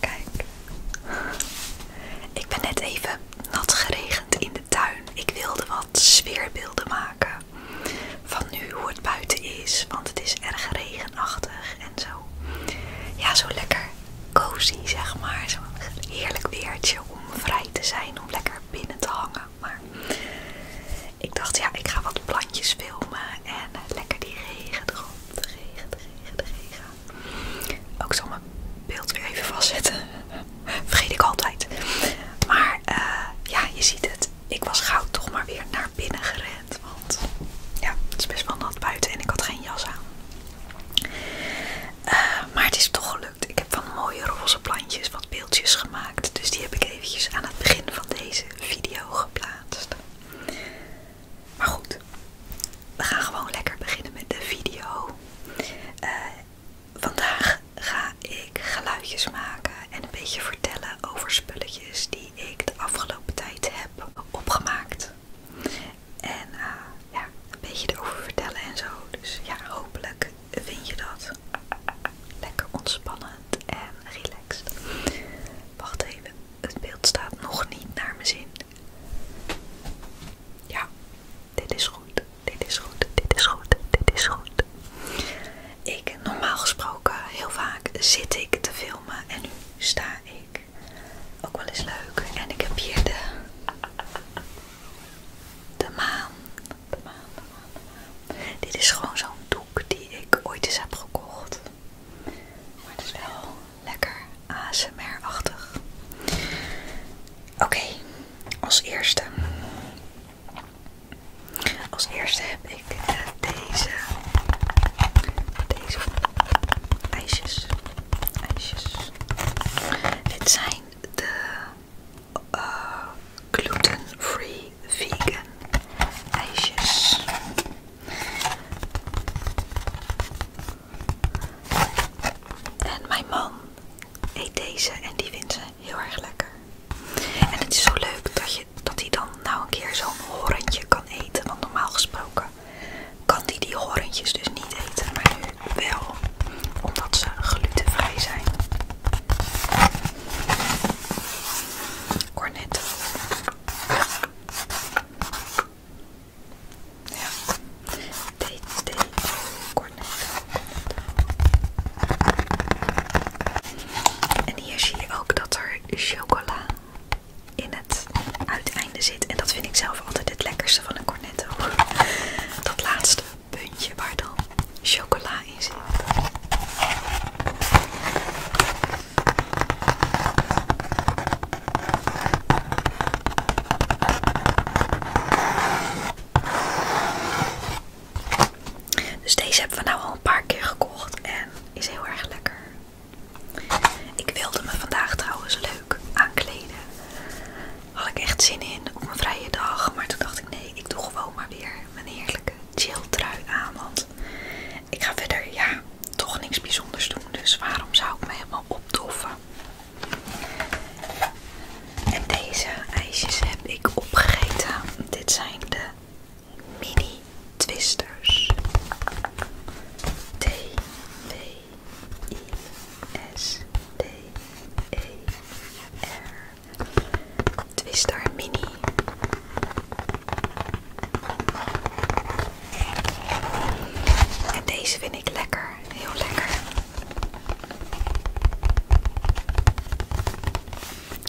Kijk, ik ben net even nat geregend in de tuin. Ik wilde wat sfeerbeelden maken van nu hoe het buiten is, want het is erg regenachtig en zo. Ja, zo lekker cozy zeg maar, zo'n heerlijk weertje om vrij te zijn, om lekker binnen te hangen. Maar ik dacht, ja, ik ga wat plantjes filmen en eh, lekker die regen erop. De regen, de regen, de regen. Ook zo mijn beeld weer even vastzetten. Vergeet ik altijd. Maar eh, ja, je ziet het. Ik was gauw toch maar weer naar binnen gerend. Want ja, het is best wel nat buiten en ik had geen jas aan. Eh, maar het is toch gelukt. Ik heb van mooie roze plantjes wat beeldjes gemaakt. Dus die heb ik eventjes aan het begin van deze video geplaatst. Maar goed, we gaan gewoon lekker beginnen met de video. Eh, vandaag ga ik geluidjes maken en een beetje vertellen over spulletjes die ik de afgelopen tijd heb opgemaakt. En eh, ja, een beetje erover vertellen en zo. Dus ja, hopelijk vind je dat lekker ontspannend en relaxed. Wacht even, het beeld staat nog niet naar mijn zin. Ja, dit is goed, dit is goed, dit is goed, dit is goed. Ik, normaal gesproken, heel vaak zit ik te filmen en nu sta ik. Ook wel eens leuk. En ik heb hier de, de maan dit is gewoon zo'n doek die ik ooit eens heb gekocht. Maar het is wel lekker ASMR-achtig. Oké, als eerste. Als eerste heb ik eh, deze, deze ijsjes. ijsjes. Dit zijn de gluten-free vegan ijsjes. En mijn man eet deze en die vindt ze heel erg lekker. En het is zo leuk dat, je, dat hij dan nou een keer zo'n horentje kan eten. Want normaal gesproken kan hij die horentjes dus niet eten. Maar wel omdat ze glutenvrij zijn. Cornetto. Ja. DT cornetto. En hier zie je ook dat er chocola in het uiteinde zit. En dat vind ik zelf altijd het lekkerste van een cornetto. Dat laatste puntje waar dan chocola in zit. Dus deze hebben we nou al een paar keer gekocht en is heel erg lekker. Ik wilde me vandaag trouwens leuk aankleden had ik echt zin in op mijn vrije dag. Maar toen dacht ik, nee, ik doe gewoon maar weer mijn heerlijke chill trui aan. Want ik ga verder, ja, toch niks bijzonders doen. Dus waarom zou ik me helemaal opdoffen? En deze ijsjes heb ik opgegeten. Dit zijn de mini twisters. T-W-I-S-T-E-R Twister Mini. En deze vind ik lekker, heel lekker.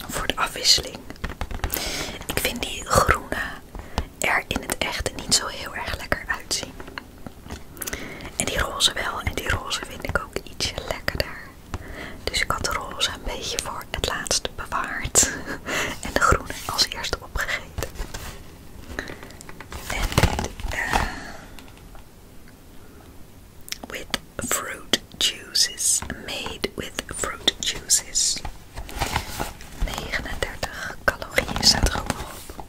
Voor de afwisseling. Ik vind die groene er in het echt niet zo heel erg lekker uitzien. En die roze wel. En die roze vind ik ook ietsje lekkerder. Dus ik had de roze een beetje voor het laatst bewaard. En de groene als eerste opgegeten. En dit, eh, with fruit juices. Made with fruit juices. 39 calorieën staat er ook nog op.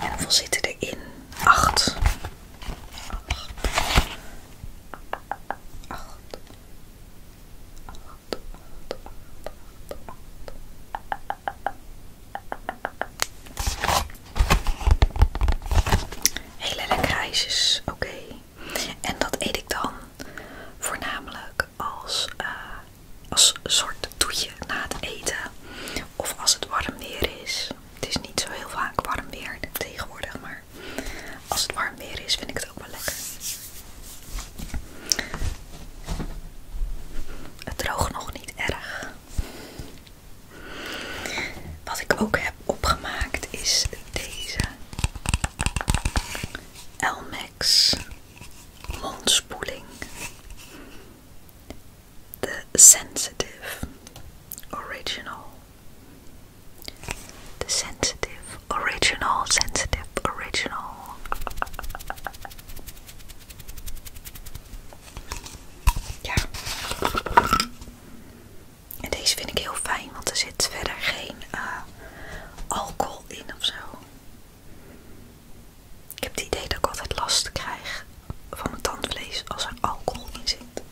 En hoeveel zitten erin? 8. 8. 8. 8, oké. En dat eet ik dan voornamelijk als, eh, als soort toetje na het eten of als het warm weer is. Het is niet zo heel vaak warm weer tegenwoordig, maar als het warm weer is vind ik het ook wel lekker. Het droogt nog niet erg. Wat ik ook heb opgemaakt is deze Elmex mondspoeling. De Sensitive Original. De Sensitive Original, Sensitive Original. Ja. En deze vind ik heel fijn, want er zit verder geen eh, alcohol in ofzo. Ik heb het idee dat ik altijd last krijg van het tandvlees als er alcohol in zit.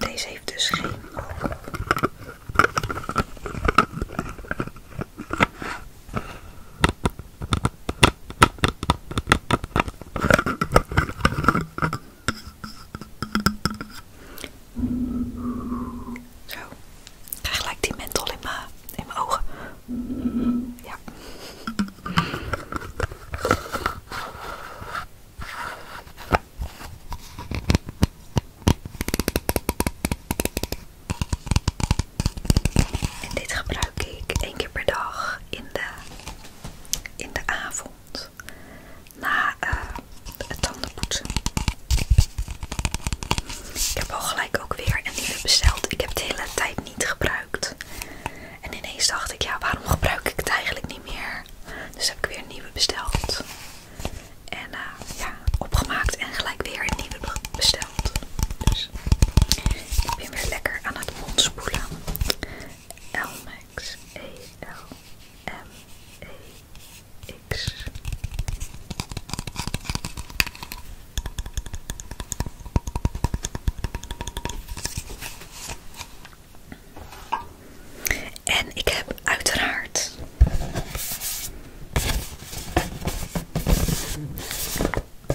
Deze heeft dus geen alcohol. Zo. Ik gelijk die menthol in mijn in ogen. Ja. En dit gebruik ik één keer per dag in de, in de avond. Na, eh, het tandenpoetsen. Ik heb al gelijk ook weer een nieuwe besteld. Ik heb het de hele tijd niet gebruikt. En ineens dacht ik, ja, waarom gebruik ik het eigenlijk niet meer? Dus heb ik weer een nieuwe besteld. En eh, ja, opgemaakt en gelijk weer een nieuwe besteld. Dus ik ben weer lekker aan het mondspoelen. Elmex. E-L-M-E. En ik heb uiteraard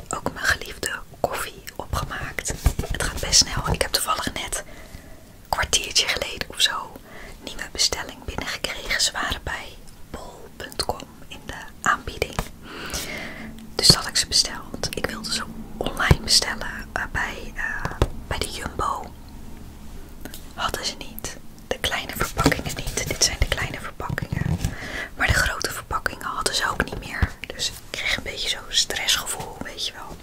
ook mijn geliefde koffie opgemaakt. Het gaat best snel. Ik heb toevallig net kwartiertje geleden of zo nieuwe bestelling binnengekregen. Ze waren bij bol.com in de aanbieding. Dus had ik ze besteld. Ik wilde ze online bestellen eh, bij, eh, bij de Jumbo. Hadden ze niet. De kleine verpakkingen niet. Dit zijn de kleine verpakkingen. Maar de grote verpakkingen hadden ze ook niet meer. Dus ik kreeg een beetje zo'n stressgevoel, weet je wel.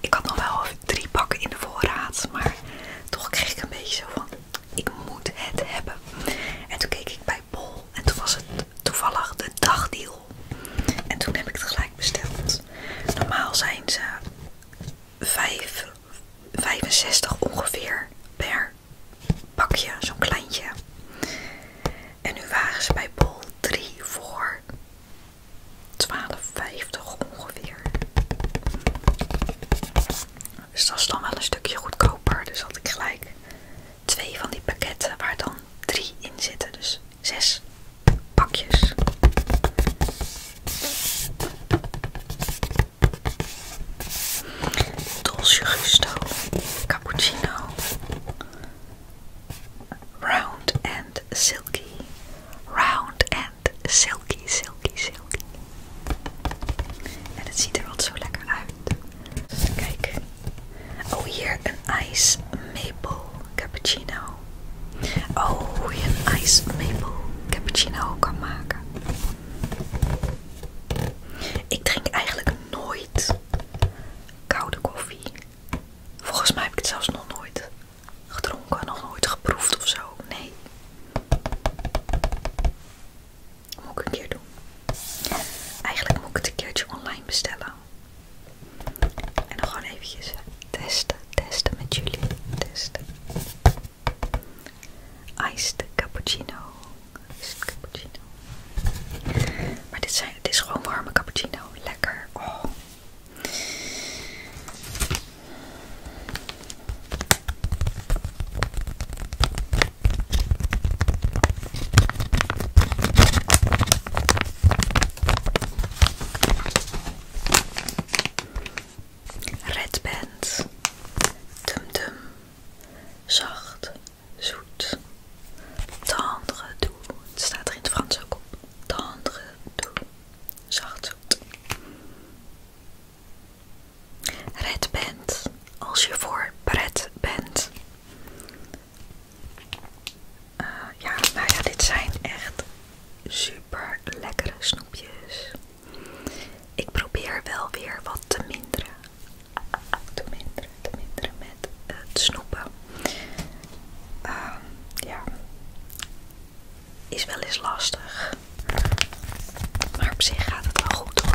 Ik had nog wel drie pakken in de voorraad, maar toch kreeg ik een beetje zo van ik moet het hebben. En toen keek ik bij Bol en toen was het toevallig de dagdeal. En toen heb ik het gelijk besteld. Normaal zijn ze 5, 65 ongeveer per pakje, zo'n kleintje. En nu waren ze bij Bol 3 voor 12,50 ongeveer. Dus dat is dan wel een stukje goedkoper. Dus had ik gelijk twee van die pakketten waar dan drie in zitten. Dus zes pakjes. Dolce Gusto, cappuccino, round and silky, round silky, silky, silky. En het ziet er wat zo lekker uit. Kijk. Oh, hier een ice maple cappuccino. Oh, hoe je een ice maple cappuccino kan maken. Ik drink eigenlijk nooit koude koffie. Volgens mij heb ik het zelfs nog nooit gedronken, nog nooit geproefd of zo. Nee, moet ik een keer doen. Eigenlijk moet ik het een keertje online bestellen. En dan gewoon eventjes testen, testen met jullie. Testen. Iced cappuccino. Iced cappuccino. Maar dit, dit is gewoon warme cappuccino. Lekker. Oh. Red Dum Dum Zacht, zoet Tendre doux Het staat er in het Frans ook op Tendre doux Zacht, Red bent als je voor pret bent. Eh, ja, nou ja, dit zijn echt super lekkere snoepjes. Ik probeer wel weer wat te minderen. Te minderen, te minderen met het snoepen. Ehm, ja is wel eens lastig. Maar op zich gaat het wel goed hoor.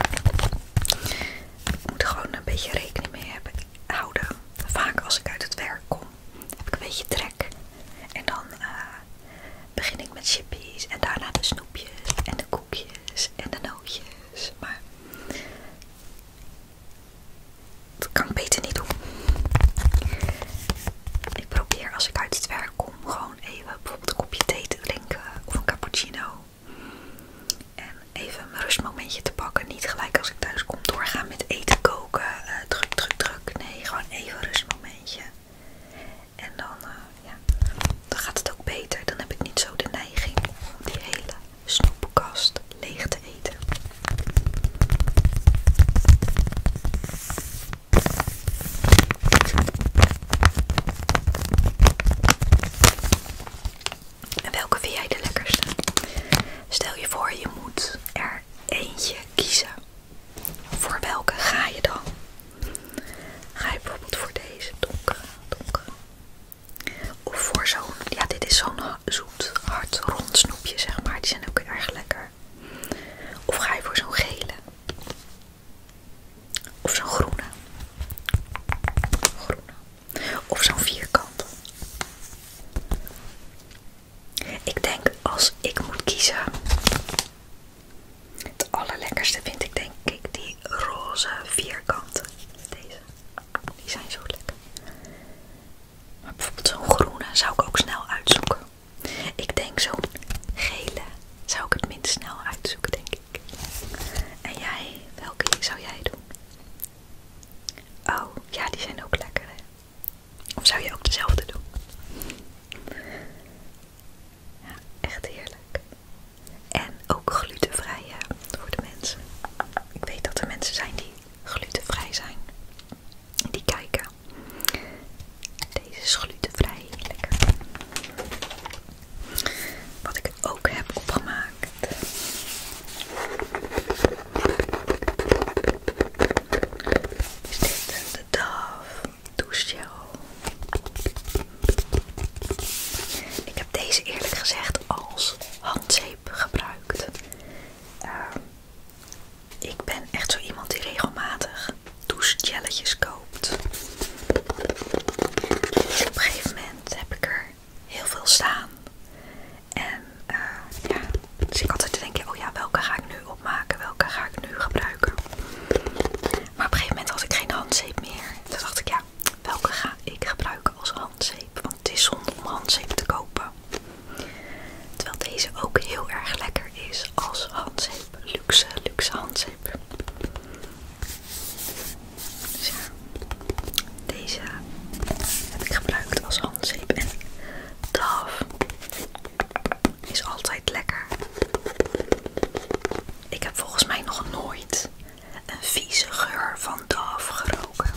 Ik moet er gewoon een beetje rekening mee houden. Vaak als ik uit het werk kom, heb ik een beetje trek. En dan eh, begin ik met chippies en daarna de snoepjes en de koekjes en de nootjes. Maar dat kan ik beter niet doen. Ik probeer als ik uit het werk kom gewoon even bijvoorbeeld een kopje thee te drinken of een cappuccino. En even een rustmomentje te pakken. Niet gelijk als ik thuis kom doorgaan met eten koken. Eh, druk, druk, druk. Nee, gewoon even een rustmomentje. En dan, eh, ja, dan gaat het ook beter. Dan heb ik niet zo de neiging om die hele snoepkast leeg te eten. En welke vind jij de lekkerste? Stel je voor, je moet er eentje kiezen. Voor welke ga je dan? Ga je bijvoorbeeld voor deze donkere, donkere? Of voor zo'n, ja dit is zo'n zoet, hard, rond snoepje zeg maar, die zijn ook erg lekker. Of ga je voor zo'n gele? Of zo'n groene. groene. Of zo'n vierkant. Ik denk als ik moet kiezen. Het allerlekkerste vind ik denk ik die roze vierkanten. Deze. Die zijn zo lekker. Maar bijvoorbeeld zo'n groene zou ik ook snel uitzoeken. Ik denk zo'n gele zou ik het minst snel uitzoeken, denk ik. En jij, welke zou jij doen? Oh, ja, die zijn ook lekker, hè? Of zou je ook dezelfde doen? Ja, echt heerlijk. En ook glutenvrij hè, voor de mensen. Ik weet dat er mensen zijn die glutenvrij zijn. en Die kijken. Deze is glutenvrij, lekker. Wat ik ook heb opgemaakt. Is deze de Dove douchegel. Ik heb deze eerlijk gezegd als handzeep gebruikt. Ehm, ik ben echt zo iemand die regelmatig douchegelletjes koopt. Op een gegeven moment heb ik er heel veel staan. En zie eh, ja, dus ik altijd te denken, oh ja, welke ga ik nu opmaken? Welke ga ik nu gebruiken? Maar op een gegeven moment had ik geen handzeep meer. dan dacht ik, ja, welke ga ik gebruiken als handzeep? Want het is zonde om handzeep te kopen. Terwijl deze ook heel erg lekker is als handzeep. Luxe, luxe handzeep. Dus ja, deze heb ik gebruikt als handzeep en DAF is altijd lekker. Ik heb volgens mij nog nooit een vieze geur van DAF geroken.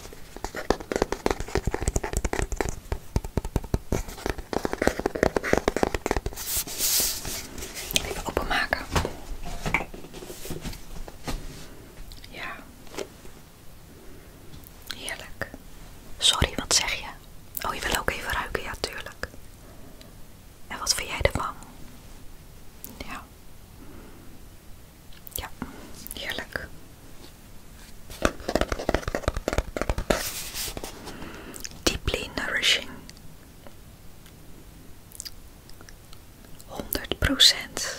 Even openmaken. Ja. Heerlijk. Sorry, wat zeg je? Oh, je wil ook even ruiken? Ja, tuurlijk. En wat vind jij ervan? Ja. Ja, heerlijk. Deeply nourishing. 100 procent.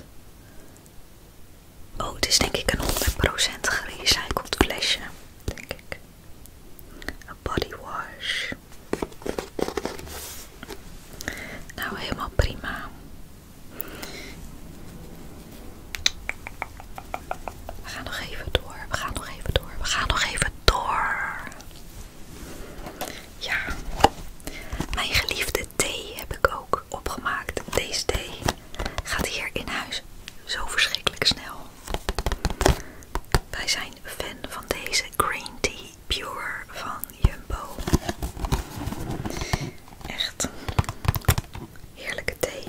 Oh, het is denk ik een 100 procent gerecycled flesje, denk ik. Een body wash. Nou, helemaal prima. We gaan nog even door. We gaan nog even door. We gaan nog even door. Ja, mijn geliefde thee heb ik ook opgemaakt. Deze thee gaat hier in huis zo verschrikkelijk snel. Wij zijn fan van deze Green Tea Pure van Jumbo. Echt heerlijke thee.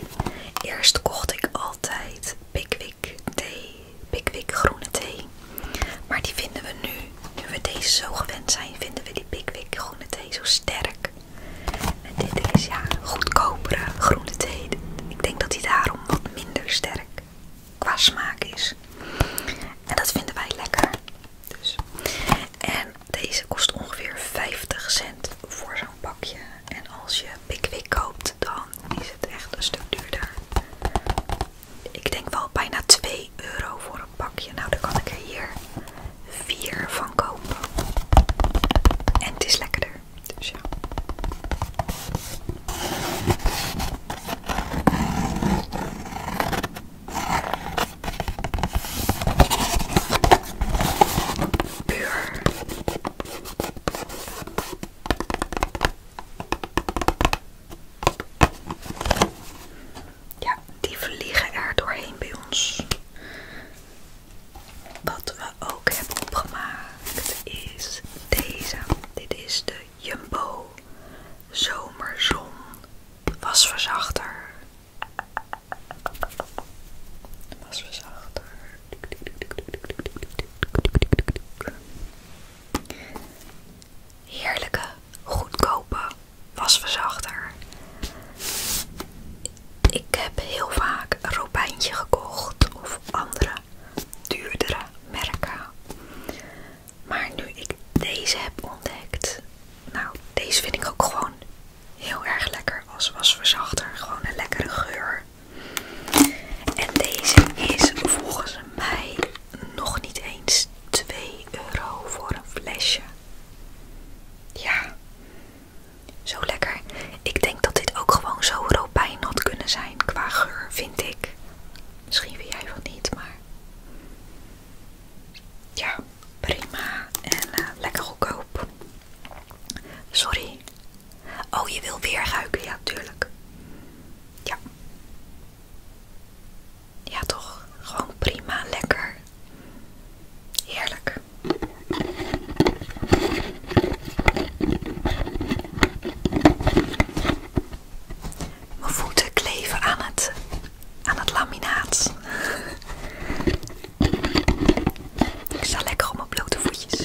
Eerst kocht ik altijd Pickwick thee, Pickwick groene thee. Maar die vinden we nu, nu we deze zo gewend zijn, vinden we die Pickwick groene thee zo sterk. En dit is ja, goedkopere groene thee. Ik denk dat die daarom wat minder sterk qua smaak is. En dat vinden wij lekker. Dus. En deze kost ongeveer 50 cent voor zo'n pakje. En als je Pickwick koopt, dan is het echt een stuk duurder ik denk wel bijna 2 euro voor een pakje. Nou, dan kan ik er hier vier van kopen. En het is lekkerder. Dus ja. Ja, die vliegen er doorheen bij ons. Wat we ook hebben opgemaakt is deze. Dit is de Jumbo Zomerzon Wasverzachter. Wasverzachter heerlijke, goedkope wasverzachter. Ik heb heel vaak een robijntje gekocht of andere duurdere merken. Maar nu ik deze heb ontdekt, nou, deze vind ik ook gewoon heel erg lekker als wasverzachter. Gewoon een lekkere geur. En deze is volgens mij nog niet eens 2 euro voor een flesje. Ja, zo lekker. Ik denk dat dit ook gewoon zo robijn had kunnen zijn qua geur, vind ik. Misschien wil jij van niet, maar ja, prima en eh, lekker goedkoop. Sorry. Oh, je wil weer ruiken, ja, tuurlijk. Ja, ja toch, gewoon prima, lekker. Heerlijk. Mijn voeten kleven aan het, aan het laminaat. Ik sta lekker op mijn blote voetjes.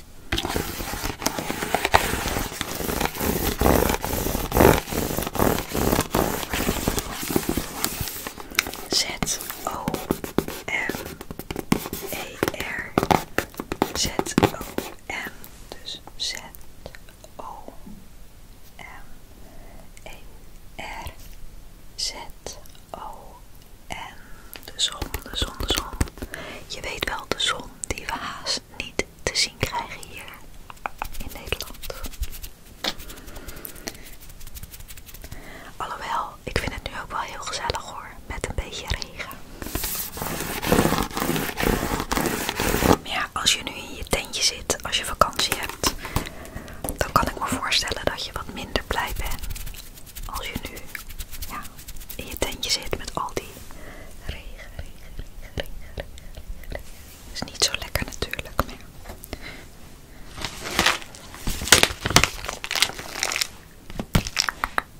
Z O M E R Z O M dus Z O M E R Z O M de dus zon de dus zon de zon je weet wel de zon die we haast niet te zien krijgen hier in Nederland. Alhoewel, ik vind het nu ook wel heel gezellig hoor, met een beetje regen. Maar ja, als je nu in je tentje zit, als je vakantie hebt, dan kan ik me voorstellen dat je wat minder blij bent. Als je nu in je tentje zit met al die die regen, regen, regen, regen, regen, regen. Is niet zo lekker natuurlijk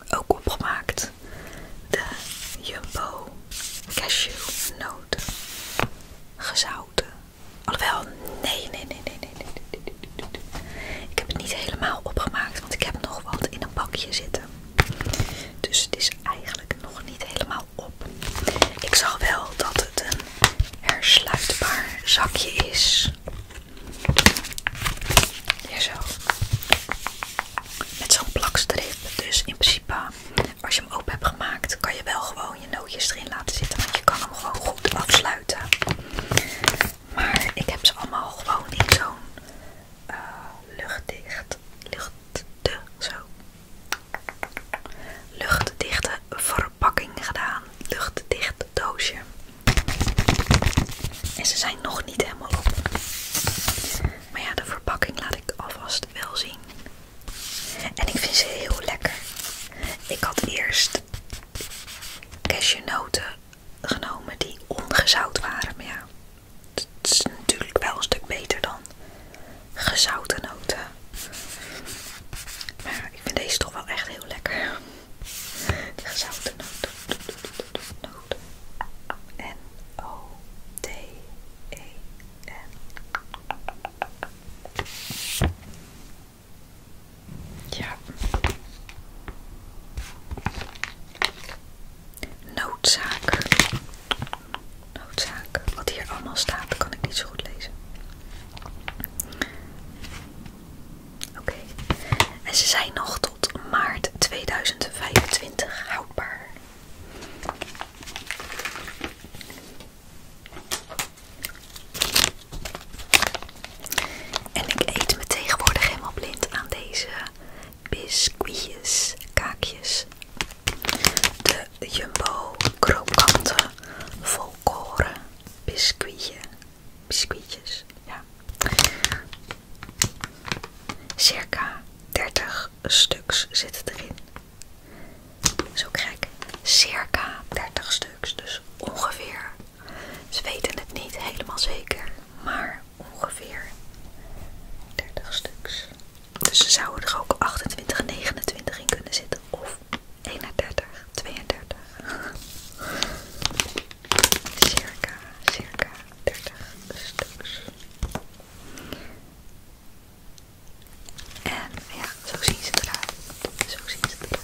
Ook opgemaakt de Jumbo cashewnoten. Gezouten. Alhoewel, nee, nee, nee, nee, nee, nee, nee. Ik heb het niet helemaal opgemaakt, want ik heb nog wat in een bakje zitten. Dus het is eigenlijk nog niet helemaal op. Ik zag wel dat het een hersluitbaar zakje is. Ja, zo. Met zo'n plakstrip. Dus in principe, als je hem open hebt gemaakt, kan je wel gewoon je nootjes erin laten zitten. Want je kan hem gewoon goed afsluiten. Maar ik heb ze allemaal gewoon in zo'n eh, luchtdicht, luchtde, zo, luchtdichte verpakking gedaan. Luchtdicht doosje. En ze zijn nog niet helemaal op. Maar ja, de verpakking laat ik alvast wel zien. En ik vind ze heel lekker. Ik had eerst cashewnoten genomen die ongezout waren. Maar ja, het is natuurlijk wel een stuk beter dan gezouten noten. Maar ik vind deze toch wel echt heel lekker. De gezouten noten. N-O-T-E-N. E ja. Noodzaak. Noodzaak. Wat hier allemaal staat, kan ik niet zo goed lezen. Oké. En ze zijn nog tot maart 2025 houdbaar. En ik eet me tegenwoordig helemaal blind aan deze biscuitjes, kaakjes. De Jumbo krokante volkoren biscuitje. Biscuitjes, ja. Circa 30 stuks zitten erin. Zo krijg ik circa 30 stuks, dus ongeveer. Ze weten het niet helemaal zeker, maar ongeveer 30 stuks. Dus ze zouden er ook 28, 29 in kunnen zitten. Of 31, 32. circa, circa 30 stuks. En ja, zo zien ze eruit. Zo zien ze eruit.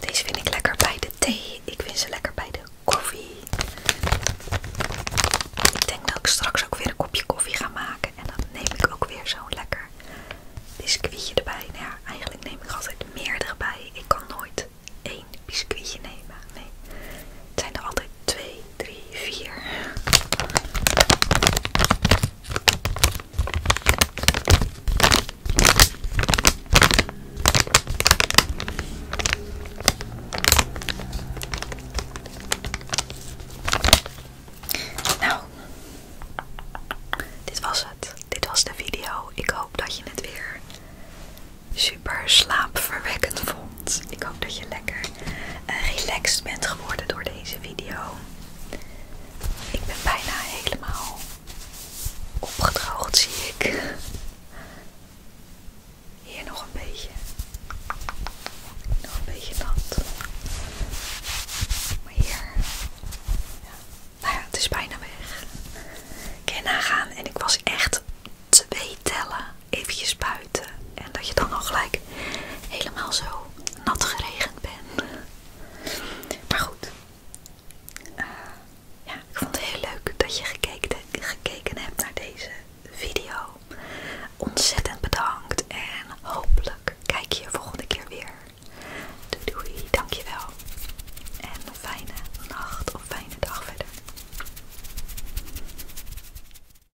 Deze vind ik lekker bij de thee. Ik vind ze lekker bij de koffie. Ik denk dat ik straks ook weer een kopje koffie ga maken. En dan neem ik ook weer zo'n lekker biscuitje erbij. Nou eigenlijk neem ik altijd meerdere bij. Ik kan nooit één biscuitje nemen. Nee, het zijn er altijd twee. 3, 4. Nou, dit was het. Dit was de video. Ik hoop dat je het weer super slaapverwekkend vond. Ik hoop dat je lekker eh, relaxed bent geworden door deze video. Ik ben bijna helemaal opgedroogd, zie ik. Hier nog een beetje. Nog een beetje nat. Maar hier. Ja. Nou ja, het is bijna weg. Ik kan nagaan en ik was echt twee tellen eventjes buiten en dat je dan al gelijk helemaal zo nat geregend bent. Maar goed, eh, ja, ik vond het heel leuk dat je gekeken, hebt naar deze video. Ontzettend bedankt en hopelijk kijk je volgende keer weer. Doei doei, dankjewel. En een fijne nacht of fijne dag verder.